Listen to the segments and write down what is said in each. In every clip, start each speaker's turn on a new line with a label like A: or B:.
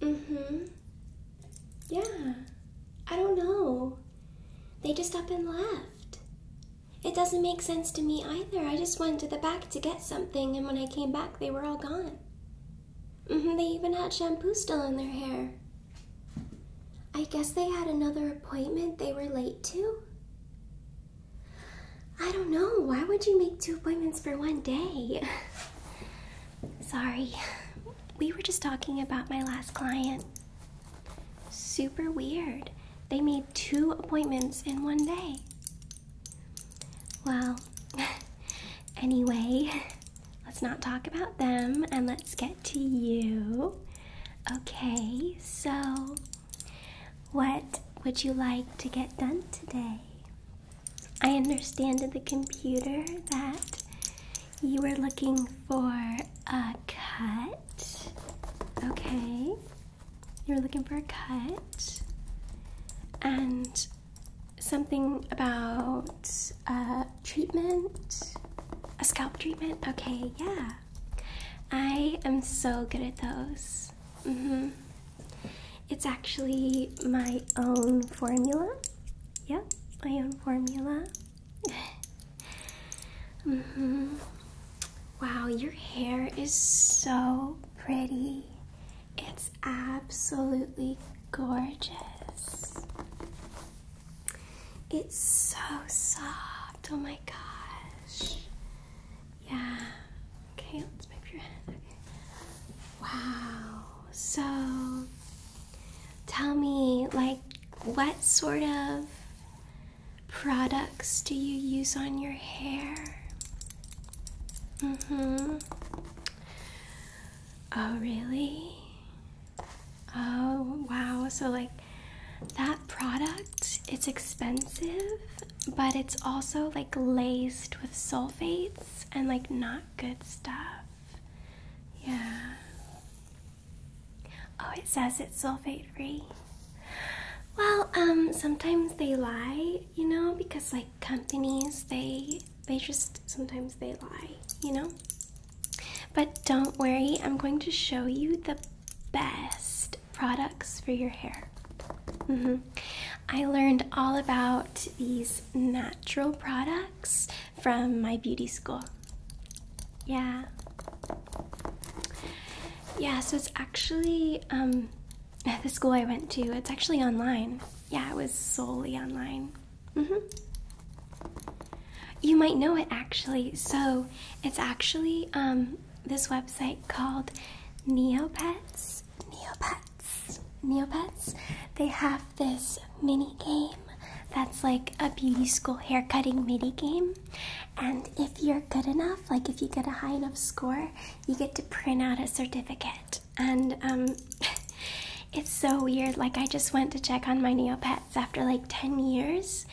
A: Mm-hmm. Yeah. I don't know. They just up and left. It doesn't make sense to me either. I just went to the back to get something, and when I came back, they were all gone. Mm-hmm. They even had shampoo still in their hair. I guess they had another appointment they were late to. I don't know. Why would you make two appointments for one day? Sorry. We were just talking about my last client. Super weird. They made two appointments in one day. Well, anyway, let's not talk about them and let's get to you. Okay, so what would you like to get done today? I understand the computer that you were looking for a cut. Okay. you were looking for a cut. And something about a treatment, a scalp treatment. Okay, yeah. I am so good at those. Mm hmm it's actually my own formula. Yep, my own formula. -hmm. Wow, your hair is so pretty. It's absolutely gorgeous. It's so soft. Oh my gosh. Yeah. Okay, let's move your head. Okay. Wow. So tell me, like, what sort of products do you use on your hair? Mm-hmm. Oh, really? Oh, wow. So, like, that product, it's expensive? but it's also like laced with sulfates and like not good stuff. Yeah. Oh, it says it's sulfate free. Well, um, sometimes they lie, you know, because like companies, they they just sometimes they lie, you know. But don't worry, I'm going to show you the best products for your hair. Mm -hmm. I learned all about these natural products from my beauty school. Yeah. Yeah, so it's actually um, the school I went to, it's actually online. Yeah, it was solely online. Mm-hmm. You might know it actually. So it's actually um, this website called Neopets. Neopets. Neopets. Neopets, they have this mini game that's like a beauty school hair cutting mini game. And if you're good enough, like if you get a high enough score, you get to print out a certificate. And um, it's so weird. Like, I just went to check on my Neopets after like 10 years,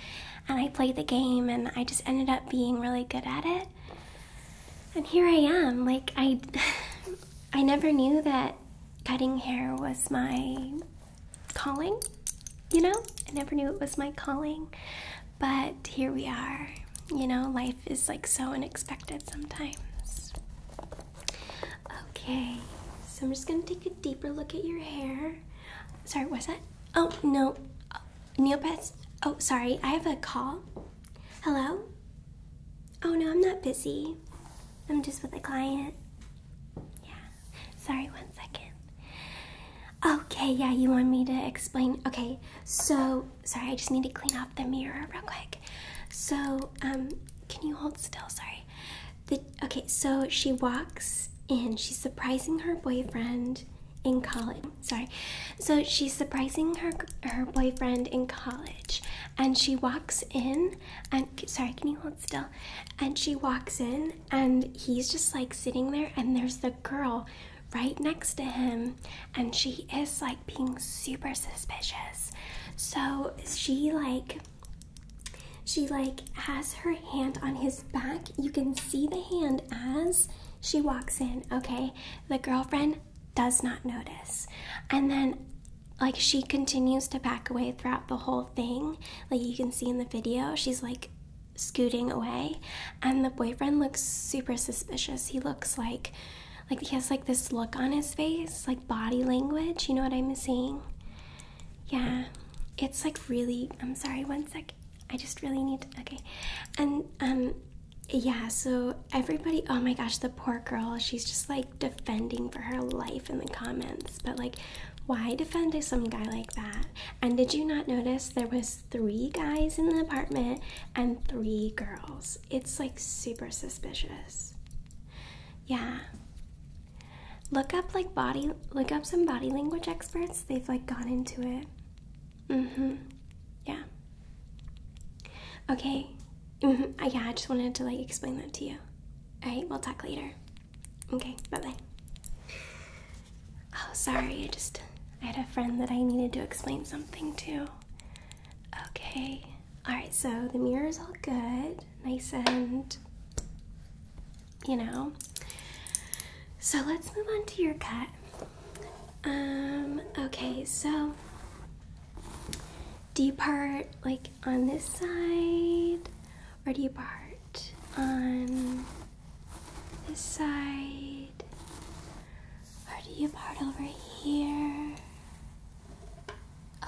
A: and I played the game, and I just ended up being really good at it and here I am. Like I I never knew that cutting hair was my calling, you know? I never knew it was my calling. But here we are. You know, life is like so unexpected sometimes. Okay. So I'm just going to take a deeper look at your hair. Sorry, what's that? Oh, no. Uh, Neopets. Oh, sorry. I have a call. Hello? Oh no, I'm not busy. I'm just with a client. Yeah. Sorry, one second. Okay, yeah, you want me to explain? Okay, so, sorry, I just need to clean off the mirror real quick. So, um, can you hold still? Sorry. The, okay, so she walks in. She's surprising her boyfriend in college. Sorry. So she's surprising her her boyfriend in college and she walks in and sorry can you hold still and she walks in and he's just like sitting there and there's the girl right next to him and she is like being super suspicious so she like she like has her hand on his back you can see the hand as she walks in okay the girlfriend does not notice. And then, like, she continues to pack away throughout the whole thing. Like, you can see in the video, she's like scooting away. And the boyfriend looks super suspicious. He looks like, like, he has like this look on his face, like body language. You know what I'm saying? Yeah. It's like really, I'm sorry, one sec. I just really need to, okay. And, um, yeah, so everybody, oh my gosh, the poor girl, she's just like defending for her life in the comments. But like, why defend a some guy like that? And did you not notice there was three guys in the apartment and three girls? It's like super suspicious. Yeah. Look up like body look up some body language experts. They've like gone into it. Mm-hmm. Yeah. Okay. Mm-hmm. yeah, I just wanted to like explain that to you. All right, we'll talk later. Okay, bye bye. Oh, sorry. I just I had a friend that I needed to explain something to. Okay. All right. So the mirror is all good, nice and you know. So let's move on to your cut. Um. Okay. So do you part like on this side or do you part on this side or do you part over here?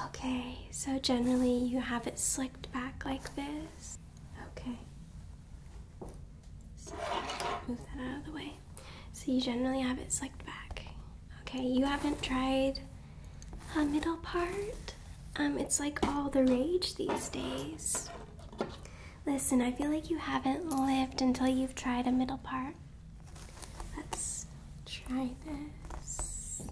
A: Okay, so generally you have it slicked back like this. Okay. So move that out of the way so you generally have it slicked back. Okay, you haven't tried a middle part. Um, it's like all the rage these days. Listen, I feel like you haven't lived until you've tried a middle part. Let's try this.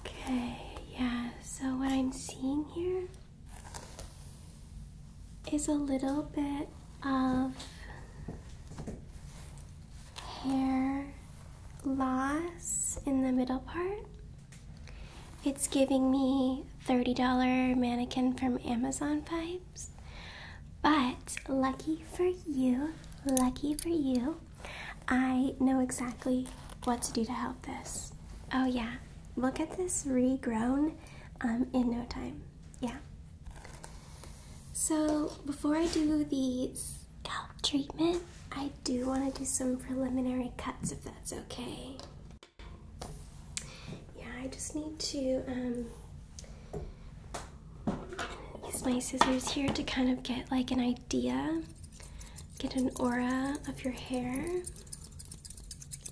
A: Okay, yeah, so what I'm seeing here is a little bit of hair loss in the middle part. It's giving me $30 mannequin from Amazon vibes. But lucky for you, lucky for you, I know exactly what to do to help this. Oh yeah, look at this regrown um, in no time. Yeah. So before I do the scalp treatment, I do want to do some preliminary cuts if that's okay. Yeah, I just need to um, use my scissors here to kind of get like an idea, get an aura of your hair.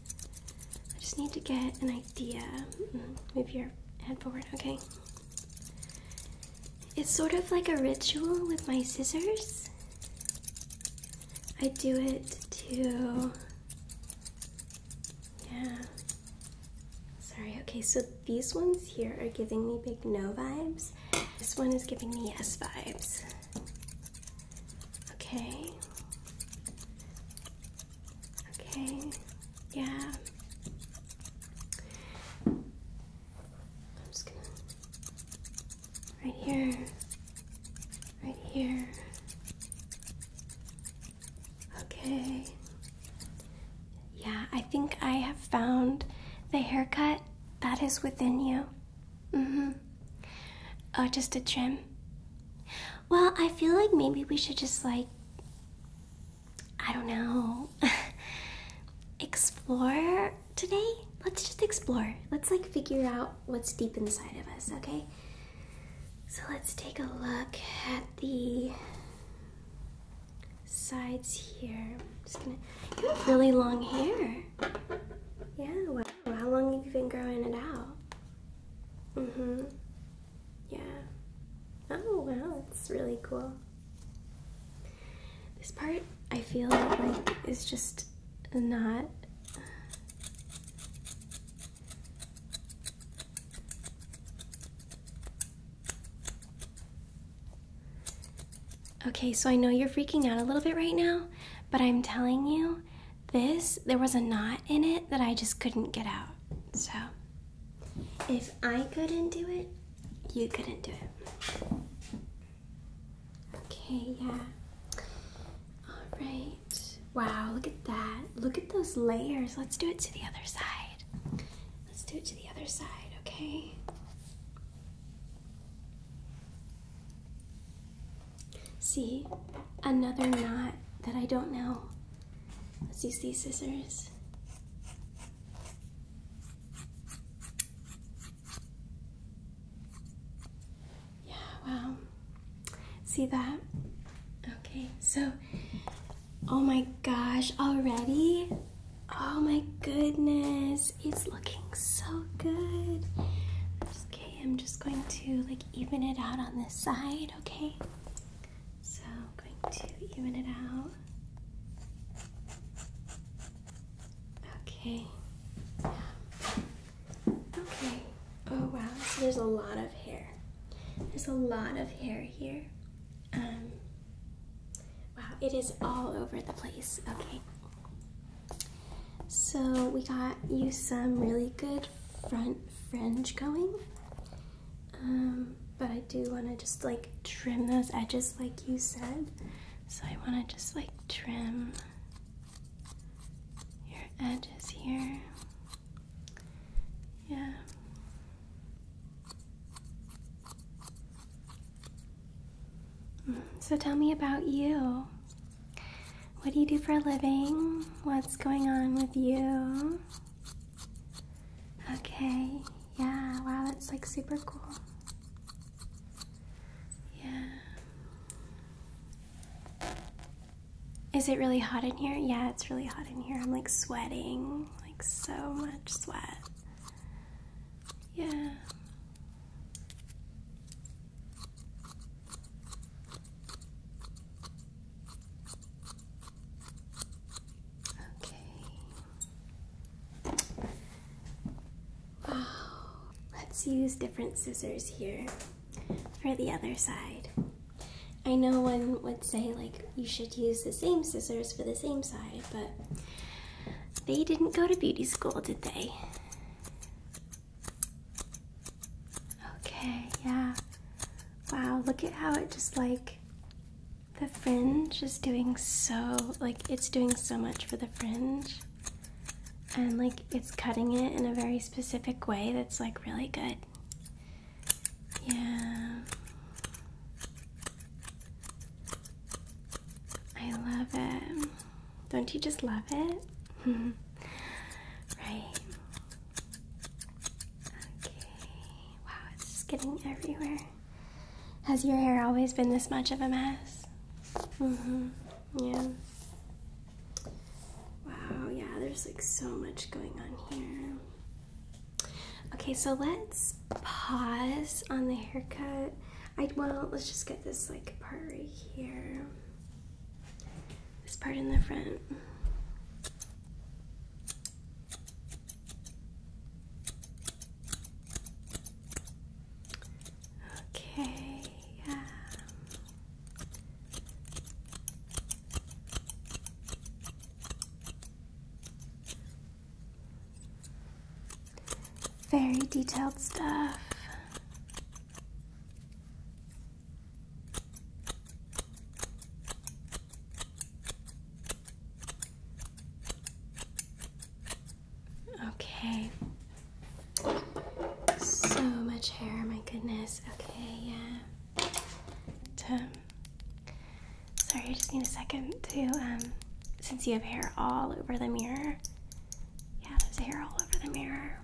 A: I just need to get an idea. Mm-hmm. Move your head forward, okay? It's sort of like a ritual with my scissors. I do it to. Yeah. Sorry, okay, so these ones here are giving me big no vibes. This one is giving me yes vibes. Okay. Okay. Yeah. I'm just gonna. Right here. Right here. Okay. Yeah, I think I have found the haircut that is within you. Mm hmm. Oh, just a trim. Well, I feel like maybe we should just like I don't know explore today. Let's just explore. Let's like figure out what's deep inside of us, okay? So let's take a look at the sides here. just gonna you have really long hair. Yeah, how long have you been growing it out? Mm-hmm. Yeah. Oh, wow, that's really cool. This part, I feel like, is just not... Okay, so I know you're freaking out a little bit right now, but I'm telling you this, there was a knot in it that I just couldn't get out. So, if I couldn't do it, you couldn't do it. Okay, yeah. All right. Wow, look at that. Look at those layers. Let's do it to the other side. Let's do it to the other side, okay? See, another knot that I don't know. Let's use these scissors. Yeah, wow. See that? Okay, so, oh my gosh, already? Oh my goodness, it's looking so good. I'm just going to like even it out on this side, okay? So I'm going to even it out. Okay. Okay. Oh wow, so there's a lot of hair. There's a lot of hair here. Um, wow, it is all over the place. Okay. So we got you some really good front fringe going. Um, but I do want to just like trim those edges like you said. So I want to just like trim your edges here. Yeah. Mm, so tell me about you. What do you do for a living? What's going on with you? Okay, yeah, wow, that's like super cool. Yeah. Is it really hot in here? Yeah, it's really hot in here. I'm like sweating, like so much sweat. Yeah. Okay. Wow. Let's use different scissors here for the other side. I know one would say like you should use the same scissors for the same side, but they didn't go to beauty school, did they? Okay, yeah. Wow, look at how it just like the fringe is doing so like it's doing so much for the fringe. And like it's cutting it in a very specific way that's like really good. Yeah. I love it. Don't you just love it? right. Okay. Wow, it's just getting everywhere. Has your hair always been this much of a mess? Mm-hmm. Yeah. Wow, yeah, there's like so much going on here. Okay, so let's pause on the haircut. I well, let's just get this like part right here this part in the front. Okay, yeah. Very detailed stuff. Okay. So much hair, my goodness. Okay, yeah. But, sorry, I just need a second to, um, since you have hair all over the mirror. Yeah, there's hair all over the mirror.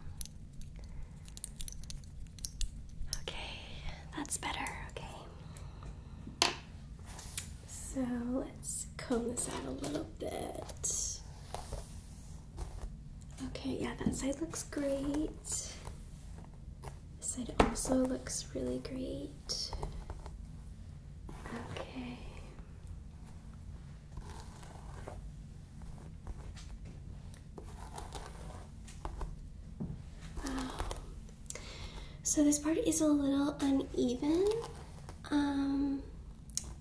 A: Okay, that's better. Okay. So let's comb this out a little bit. Okay, yeah, that side looks great. This side also looks really great. Okay. Um, so this part is a little uneven. Um,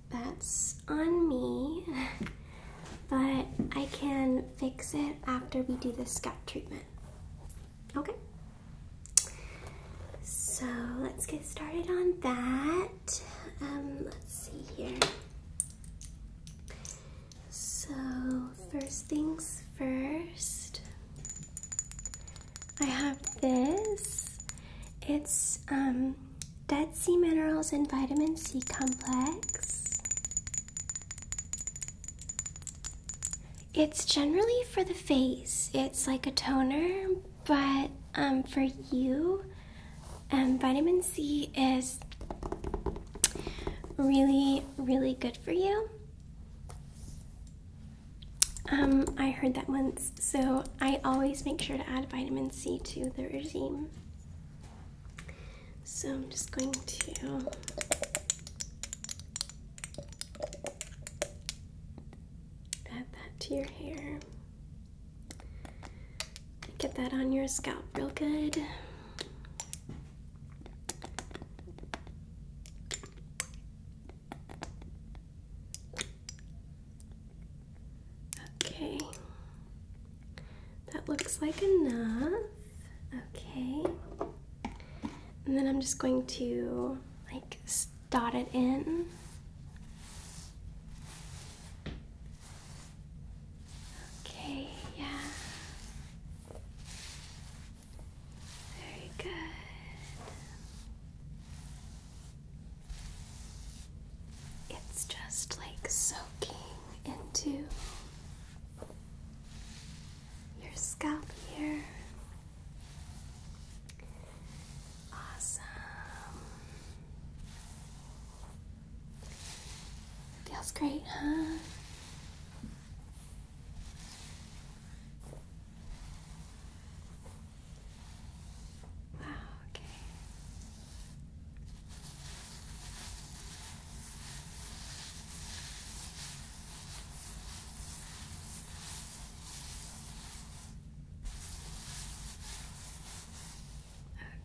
A: that's on me, but I can fix it after we do the scalp treatment. Okay. So let's get started on that. Um, let's see here. So, first things first, I have this. It's um, Dead Sea Minerals and Vitamin C Complex. It's generally for the face, it's like a toner, but um, for you, um, vitamin C is really, really good for you. Um, I heard that once, so I always make sure to add vitamin C to the regime. So I'm just going to add that to your hair. Get that on your scalp real good. Okay, that looks like enough. Okay, and then I'm just going to like dot it in. Okay, yeah. Very good. It's just like soaking into your scalp here. Awesome. Feels great, huh? Wow, okay.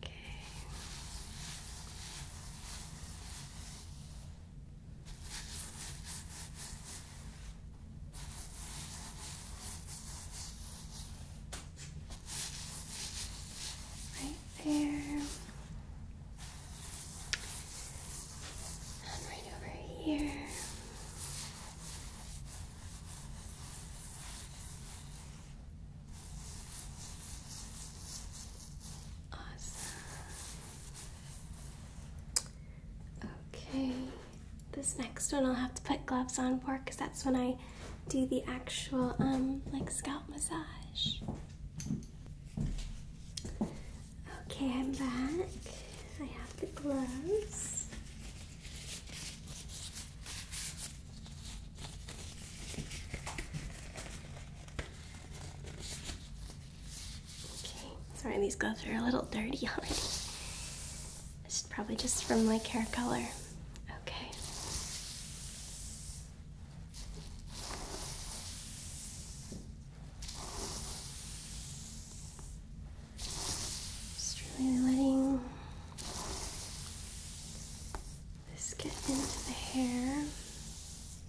A: Okay. Right there. And right over here. Awesome. Okay. This next one I'll have to put gloves on for because that's when I do the actual um like scalp massage. Okay, I'm back. I have the gloves. Okay, sorry, these gloves are a little dirty already. It's probably just from like hair color. Okay. Just really letting this get into the hair.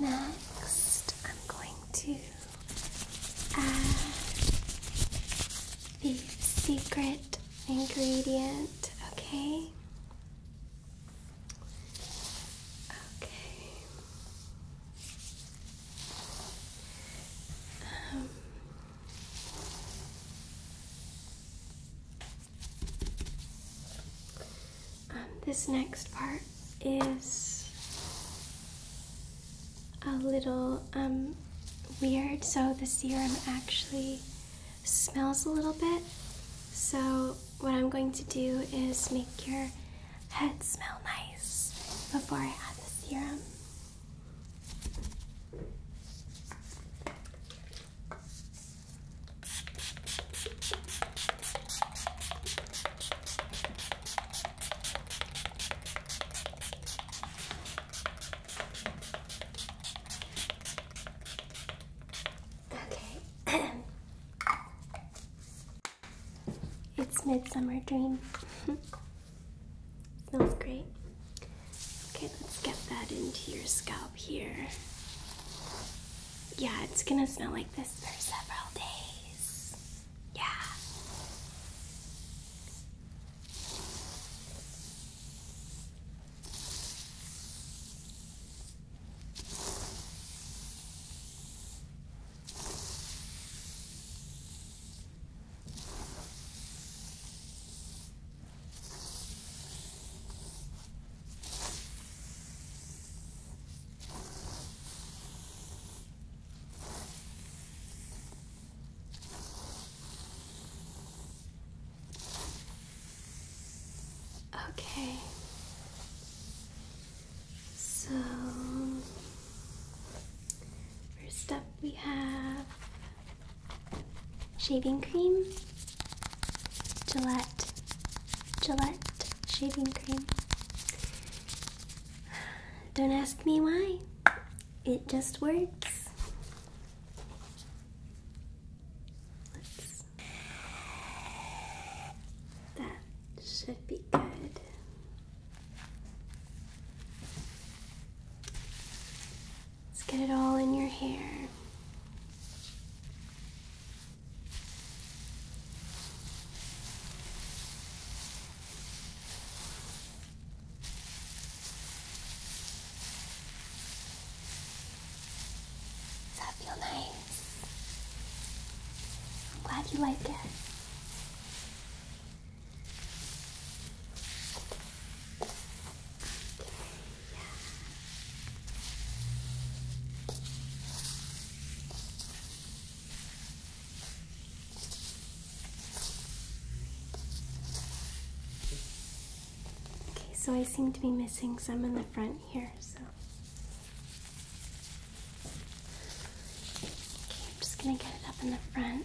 A: Next, I'm going to add the secret ingredient, okay? Okay. Um, um, this next part is a little um, weird, so the serum actually smells a little bit. So, what I'm going to do is make your head smell nice before I add the serum. Okay. it's Midsummer Dream. Smells great. Okay, let's get that into your scalp here. Yeah, it's gonna smell like this for several days. Yeah. Okay. So first up we have shaving cream. Gillette, Gillette shaving cream. Don't ask me why, it just works. That should be good. Let's get it all in your hair. Does that feel nice? I'm glad you like it. Yeah. Okay, so I seem to be missing some in the front here, so. I'm just gonna get it up in the front.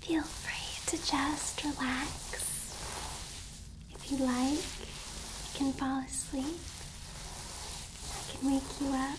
A: Feel free to just relax. If you like, you can fall asleep. I can wake you up.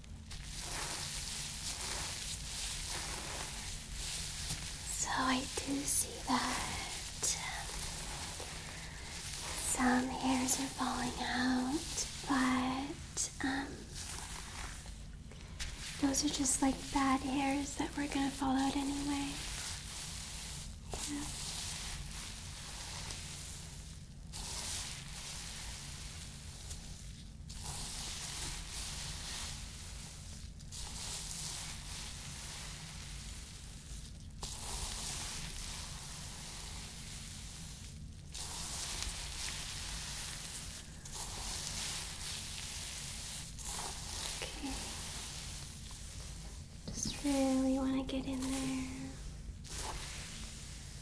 A: So I do see that um, some hairs are falling out, but um, those are just like bad hairs that were gonna fall out anyway. Okay. Just really want to get in there.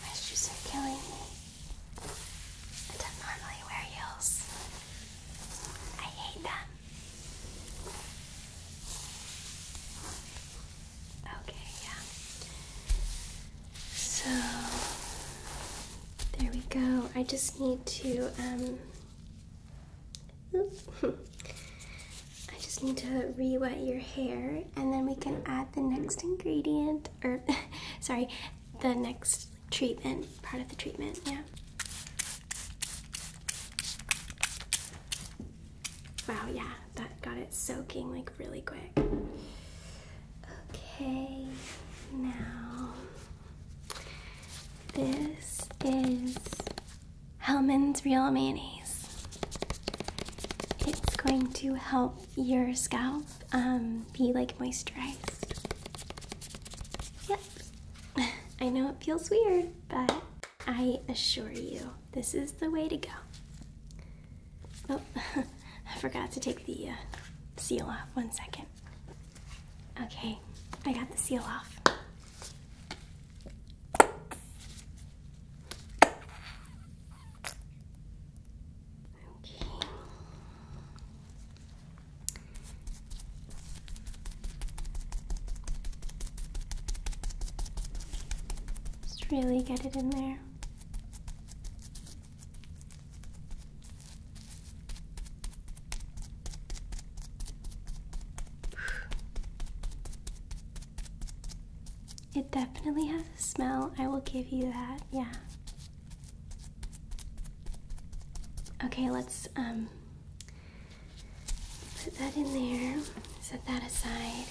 A: Mushrooms are killing me. I don't normally wear heels. I hate them. Okay, yeah. So there we go. I just need to um I just need to re-wet your hair and then we can add the next ingredient or sorry, the next treatment, part of the treatment, yeah. Wow, yeah, that got it soaking like really quick. Okay, now this is Hellman's Real Mayonnaise. It's going to help your scalp um, be like moisturized. Yep. I know it feels weird, but I assure you, this is the way to go. Oh, I forgot to take the uh, seal off. One second. Okay, I got the seal off. Okay. Just really get it in there. It definitely has a smell, I will give you that, yeah. Okay, let's um put that in there, set that aside.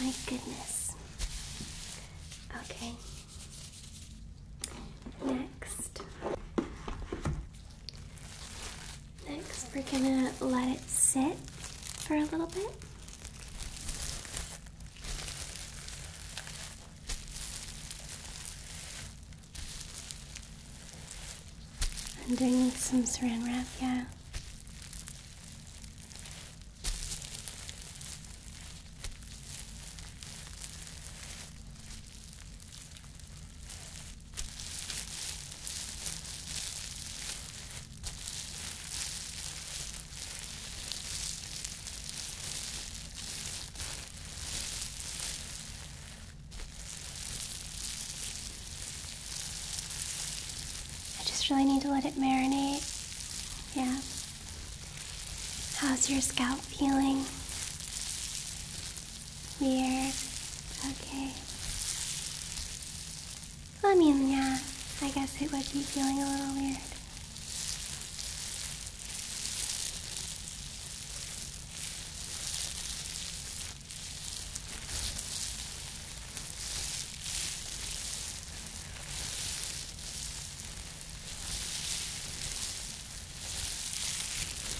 A: my goodness. Okay. Next, next we're gonna let it sit for a little bit. Ending with some saran wrap, yeah. I just really need to let it marinate. Yeah. How's your scalp feeling? Weird. Okay. I mean, yeah, I guess it was you feeling a little weird.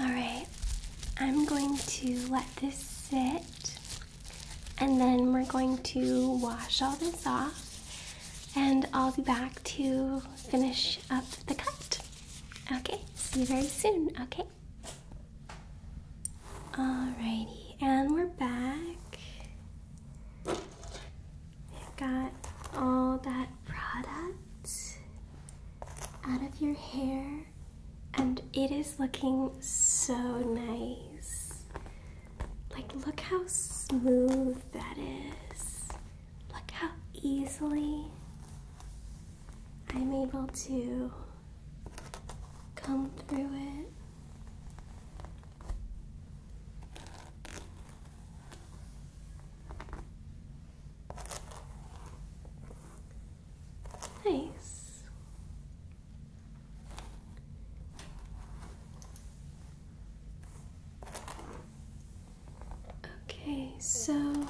A: Alright, I'm going to let this sit and then we're going to wash all this off and I'll be back to finish up the cut. Okay, see you very soon, okay? Alrighty, and we're back. We've got all that product out of your hair and it is looking so nice. Like look how smooth that is. Look how easily I'm able to come through it. Nice. Okay, so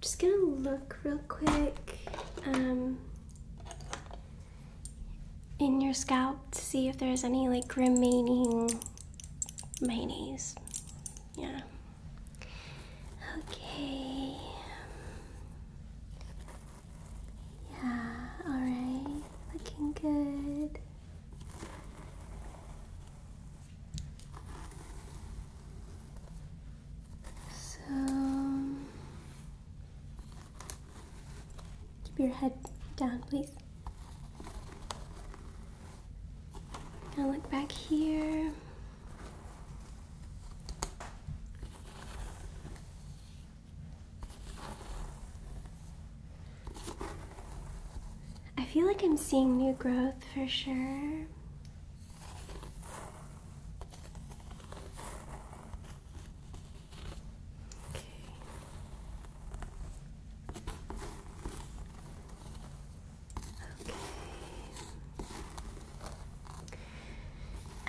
A: just gonna look real quick um, in your scalp to see if there's any like remaining mayonnaise. Yeah. Okay. Yeah, alright. Looking good. So keep your head down, please. I look back here. I feel like I'm seeing new growth for sure. Okay. Okay.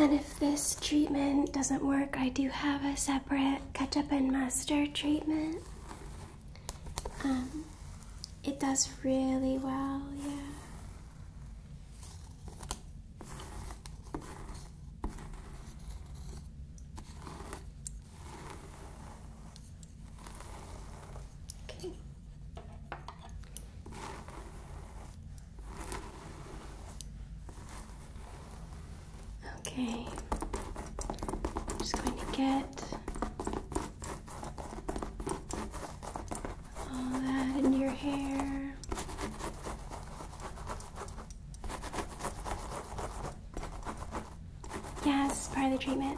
A: And if this treatment doesn't work, I do have a separate ketchup and mustard treatment. Um, it does really well, yeah. Okay. Okay. I'm just going to get all that in your hair. Yes, part of the treatment.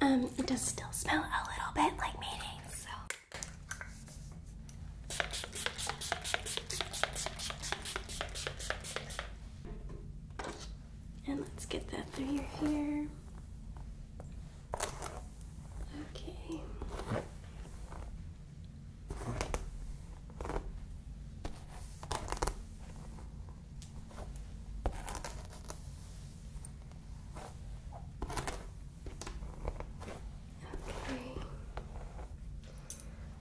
A: um, it does still smell a little bit like mayonnaise, so. And let's get that through your hair. Okay. Okay.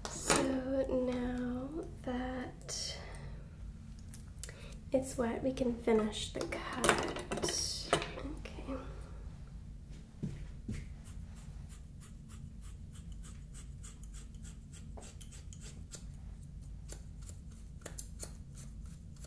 A: So now that it's wet, we can finish the cut. Okay.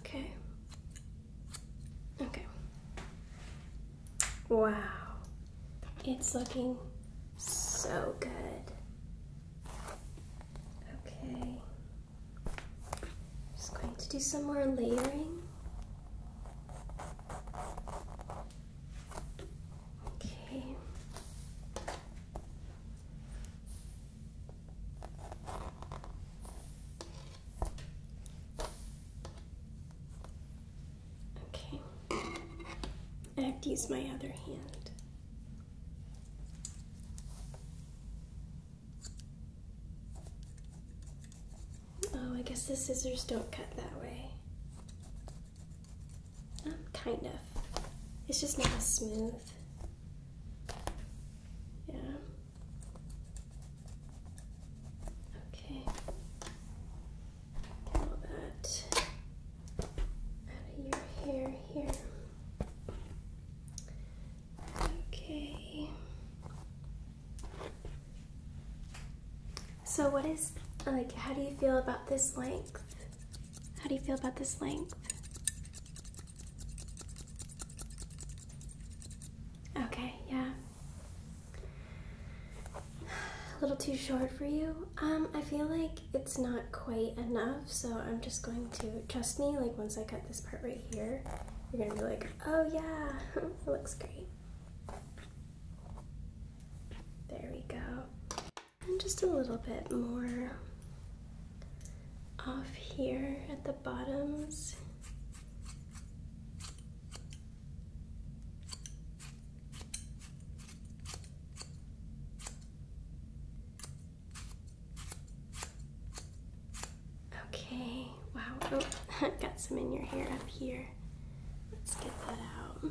A: Okay. Okay. Wow. It's looking so good. Okay. Just going to do some more layering. Okay. Okay. I have to use my other hand. Oh, I guess the scissors don't cut that way. kind of. It's just not as smooth. Yeah. Okay. Get that out of your hair here. Okay. So what is like how do you feel about this length? How do you feel about this length? Okay, yeah. A little too short for you. Um, I feel like it's not quite enough, so I'm just going to, trust me, like once I cut this part right here, you're gonna be like, oh yeah, it looks great. There we go. And just a little bit more off here at the bottoms. Okay, wow, oh, I've got some in your hair up here. Let's get that out.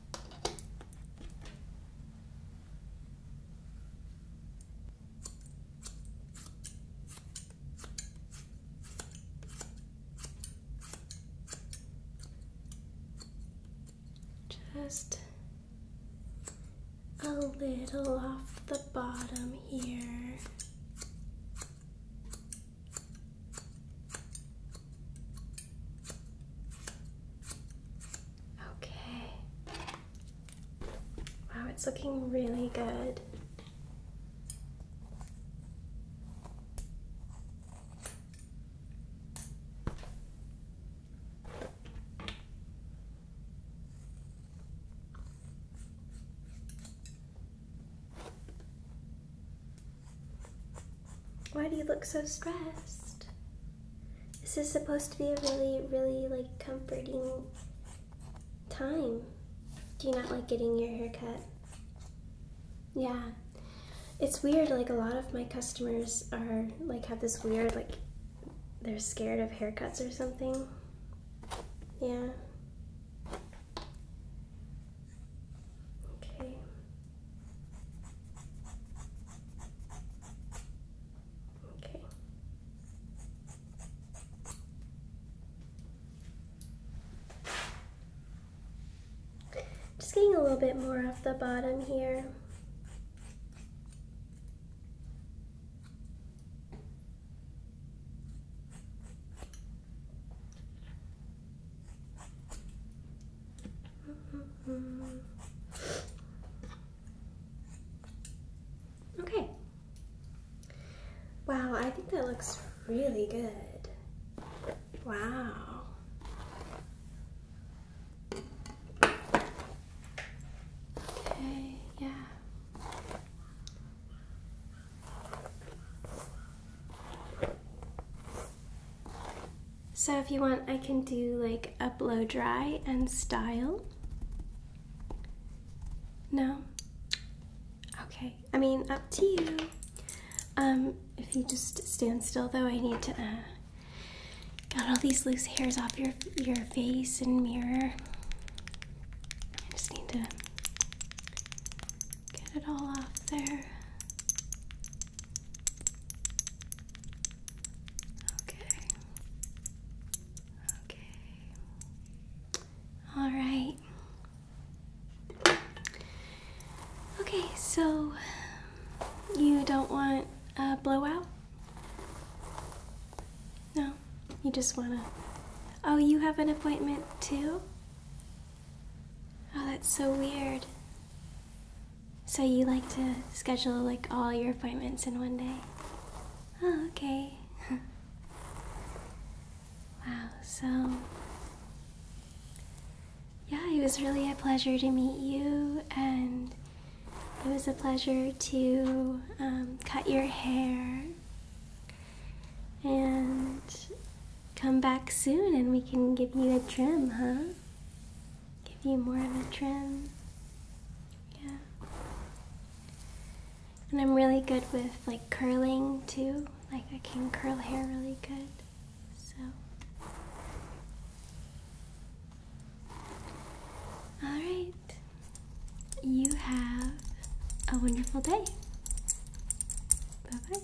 A: Just a little off the bottom here. Okay. Wow, it's looking really good. Why do you look so stressed? This is supposed to be a really, really like comforting time. Do you not like getting your hair cut? Yeah. It's weird, like a lot of my customers are like have this weird like they're scared of haircuts or something. Yeah. Okay. Okay. Just getting a little bit more off the bottom here. Okay. Wow, I think that looks really good. Wow. Okay, yeah. So if you want, I can do like a blow dry and style. No? Okay, I mean, up to you. Um, if you just stand still though, I need to, uh, got all these loose hairs off your, your face and mirror. I just need to get it all off there. Okay. Okay. All right. Okay, so you don't want a blowout? No, you just want to. Oh, you have an appointment too? Oh, that's so weird. So you like to schedule like all your appointments in one day? Oh, okay. wow, so yeah, it was really a pleasure to meet you, and it was a pleasure to um, cut your hair and come back soon and we can give you a trim, huh? give you more of a trim. Yeah. And I'm really good with like curling too. Like I can curl hair really good. So Alright. You have a wonderful day. Bye bye.